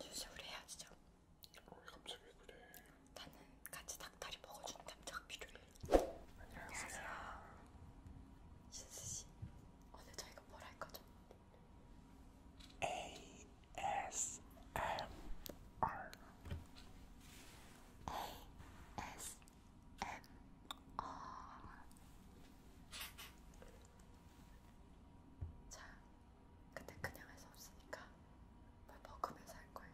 수술을 해야죠. 어, 왜 갑자기 그래? 나는 같이 닭다리 먹어주는 남자가 필요해. 안녕하세요. 신수 씨, 오늘 저희가 뭘할 거죠? ASMR. ASMR. 자, 근데 그냥 할 수 없으니까 뭘 먹으면서 할 거예요.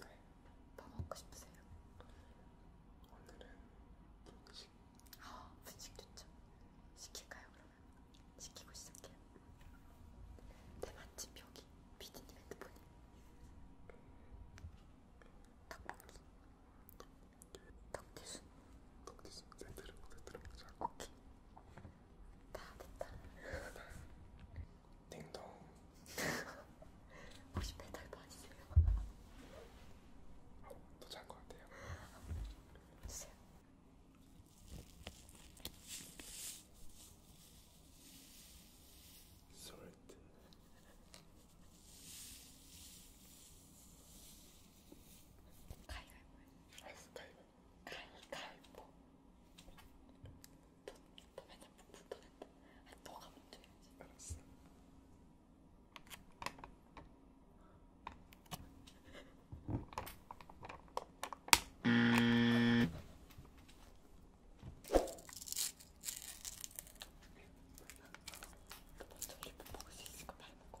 네. 뭐 먹고 싶으세요? 오늘은 분식. 아, 분식 좋죠. 시킬까요 그러면? 시키고 시작해요. 내 네, 맛집 여기 비디님 핸드폰이. 떡볶이. 떡튀순. 떡튀순. 네, 들어보자, 들어보자. 오케이. 다 됐다. 띵동. 혹시 배달 받으세요? 아, 또잘것 같아요. 주세요. 솔트. 가위바위보. 가위바위보. 갈갈보. 너, 너 맨날 묵묵떠낸다. 아니 너가 먼저 해야지. 알았어. 음. 너 먼저 일본 먹을 수 있을까? 말 먹고.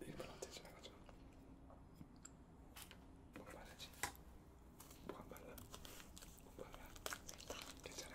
일본 언제 지나가죠? 일본, 일본 언제 지나가죠? 뭐가 빠르지? 뭐가 빨라? 뭐 빨라? 괜찮아?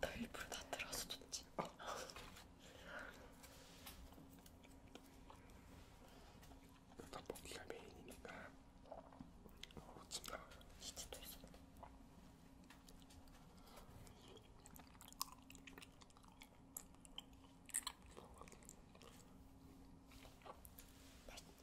나 일부러 다 들어서 좋지. 어. 떡볶이가 메인이니까 어침 나와요. 치즈도 있어. 맛있다.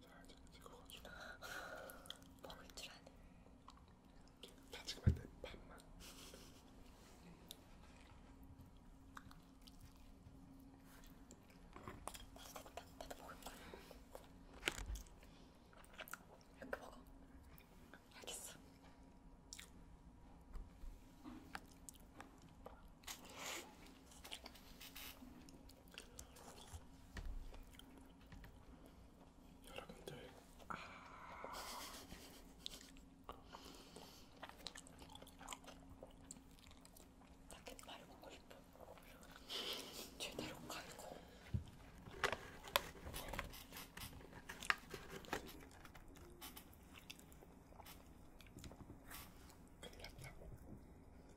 사진 찍어가지고 먹을 줄 아는 다 찍으면 안돼 반만 나도 먹을 거야 이렇게 먹어 알겠어 여러분들 아... 나 갯발 먹고 싶어. 제대로 갈고. 큰일 났다.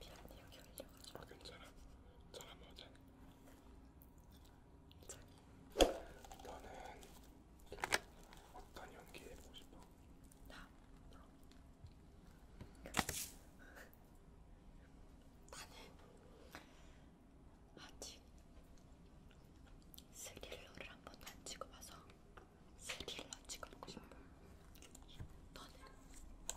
미안해 여기 올려가지고 아 괜찮아 잘한번 하자 너는 어떤 연기 해보고 싶어? 나? 나는 아직 스릴러를 한 번도 안 찍어봐서 스릴 런치 갖고 싶어. 너는? 아픈 거,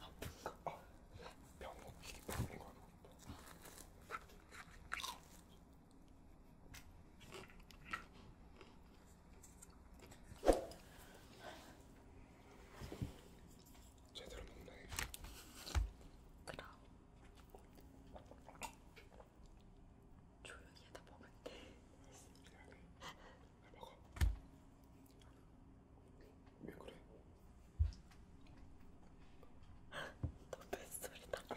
아픈 거, 아, 병원, 병원 가고 싶어. 제대로 먹네. 그럼 조용히 하다 먹을 때 미안해. 나 먹어. 왜 그래? 너 뱃소리 나.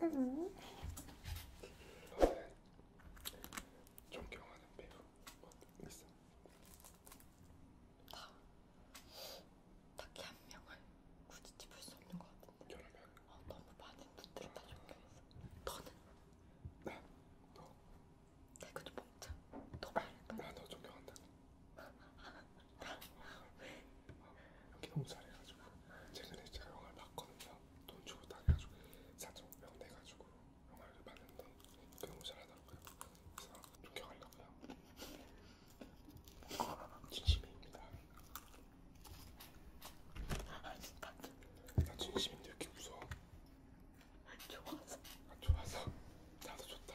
음. 존경하는 배우 있어? 다 딱히 한 명을 굳이 집을 수 없는 것 같은데 여러 어, 아, 너무 많은 분들이 다 존경했어 너는? 나? 너? 개그도 먹자 너 말할까? 나너 존경한다 왜? 여기 너무 잘해가지고 최근에 제가 영화를 봤거든요. 돈 주고 딱 해가지고 4.5명 내가지고 영화를 봤는데 이게 너무 잘하더라고요. 그래서 존경하려고요. 진심입니다. 나 진심인데 왜 이렇게 무서워? 좋아서. 아, 좋아서. 나도 좋다.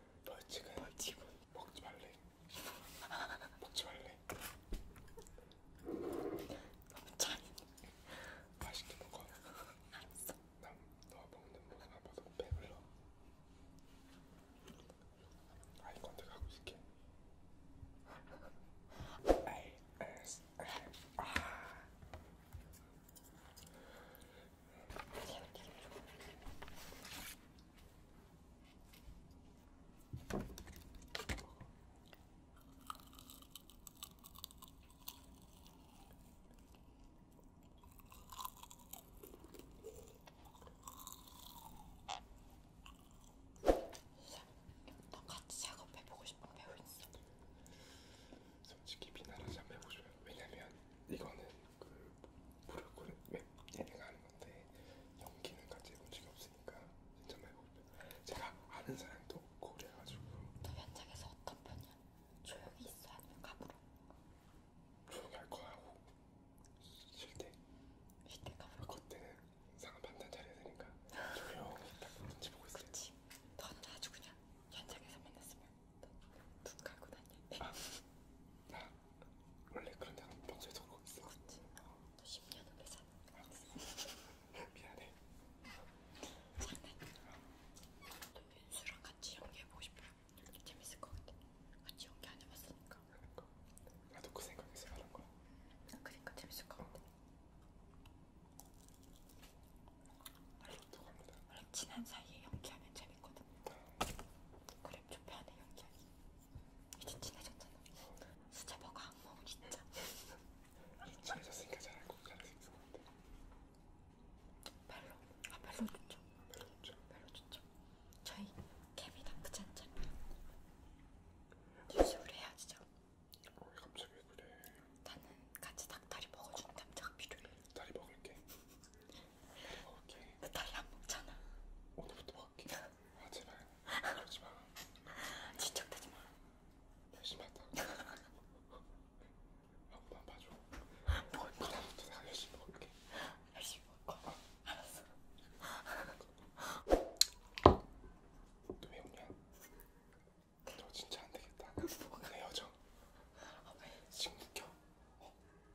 벌칙은 벌칙은 먹지 말래 먹지 말래 너무 짠 맛있게 먹어 알았어 난너 먹는 모습만 봐서 배불러 아이 컨택 하고 있을게 ASMR 아. 너 같이 작업해보고 싶은 배우 있어? 솔직히 비난하지 않고 싶어요. 왜냐면 이거는 그 물을 끓인 예능을 하는 건데 연기는 같이 해본 적이 없으니까 진짜 해보면 제가 아는 사람도 없고 그래가지고 너 현장에서 어떤 편이야? 조용히 있어 아니면 가불어? 조용히 할 거야 하고 쉴때 쉴때 가불어? 그때는 상한 판단 잘해야 되니까 조용히 딱 눈치 보고 있어요 그치 넌 아주 그냥 현장에서 만났으면 눈 깔고 다녔네. 아, 나 원래 그런 데가 평소에도 그러고 있어. 그치. 너 10년 후에 살 미안해. 장난이야. 민수랑 같이 연기해보고 싶어요. 재밌을 것 같아. 같이 연기 안 해봤으니까. 그러니까. 나도 그 생각에서 말한 거야. 그러니까 재밌을 것 같아. 어. 원래, 원래 친한 사이에 연기하면 재밌거든. 그래 좀 편해 연기하기. 이제 친해졌잖아. 수제버거 안 먹어 진짜. 친해졌으니까 잘할 거 잘할 수 있을 것 같아. 별로 아 별로 좋죠. 별로 좋죠. 별로 좋죠. 저희 케미다 그잖아. 뉴스를 해야지죠. 어, 갑자기 그래. 나는 같이 닭다리 먹어주는 남자가 필요해. 다리 먹을게. 다리 먹을게. 나 다리 안 먹잖아. 오늘부터 먹을게. 아 제발 그러지 마. 진척되지 마. 열심히 한다. 아무만 봐줘. 뭘 봐? 오늘부터 내가 열심히 먹을게. 열심히 먹을 어. 거야. 알았어. 너왜 웃냐? 너 진짜 안 되겠다. 내 여정. 아, 지금 웃겨. 어,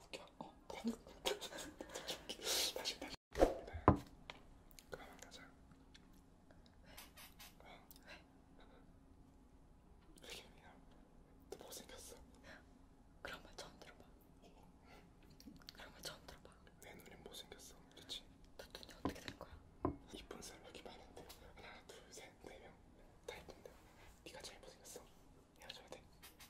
웃겨. 어, 어 다시 웃기. 다시 다시. 네. 그만 가자. 어. 백현이야. 너 못생겼어. 그런 말 처음 들어봐. 그런 말 처음 들어봐. 내 눈엔 못생겼어. 그렇지? 너 눈이 어떻게 된 거야? 이쁜 사람 여기 많은데 하나, 둘, 셋, 네 명. 다 이쁜데 네가 제일 못생겼어 헤어져야 돼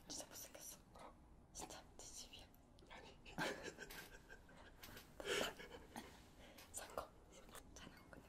진짜 못생겼어 어? 진짜 네 집이야 아니 성공 잘하고 끝낼까 하나 둘셋 안녕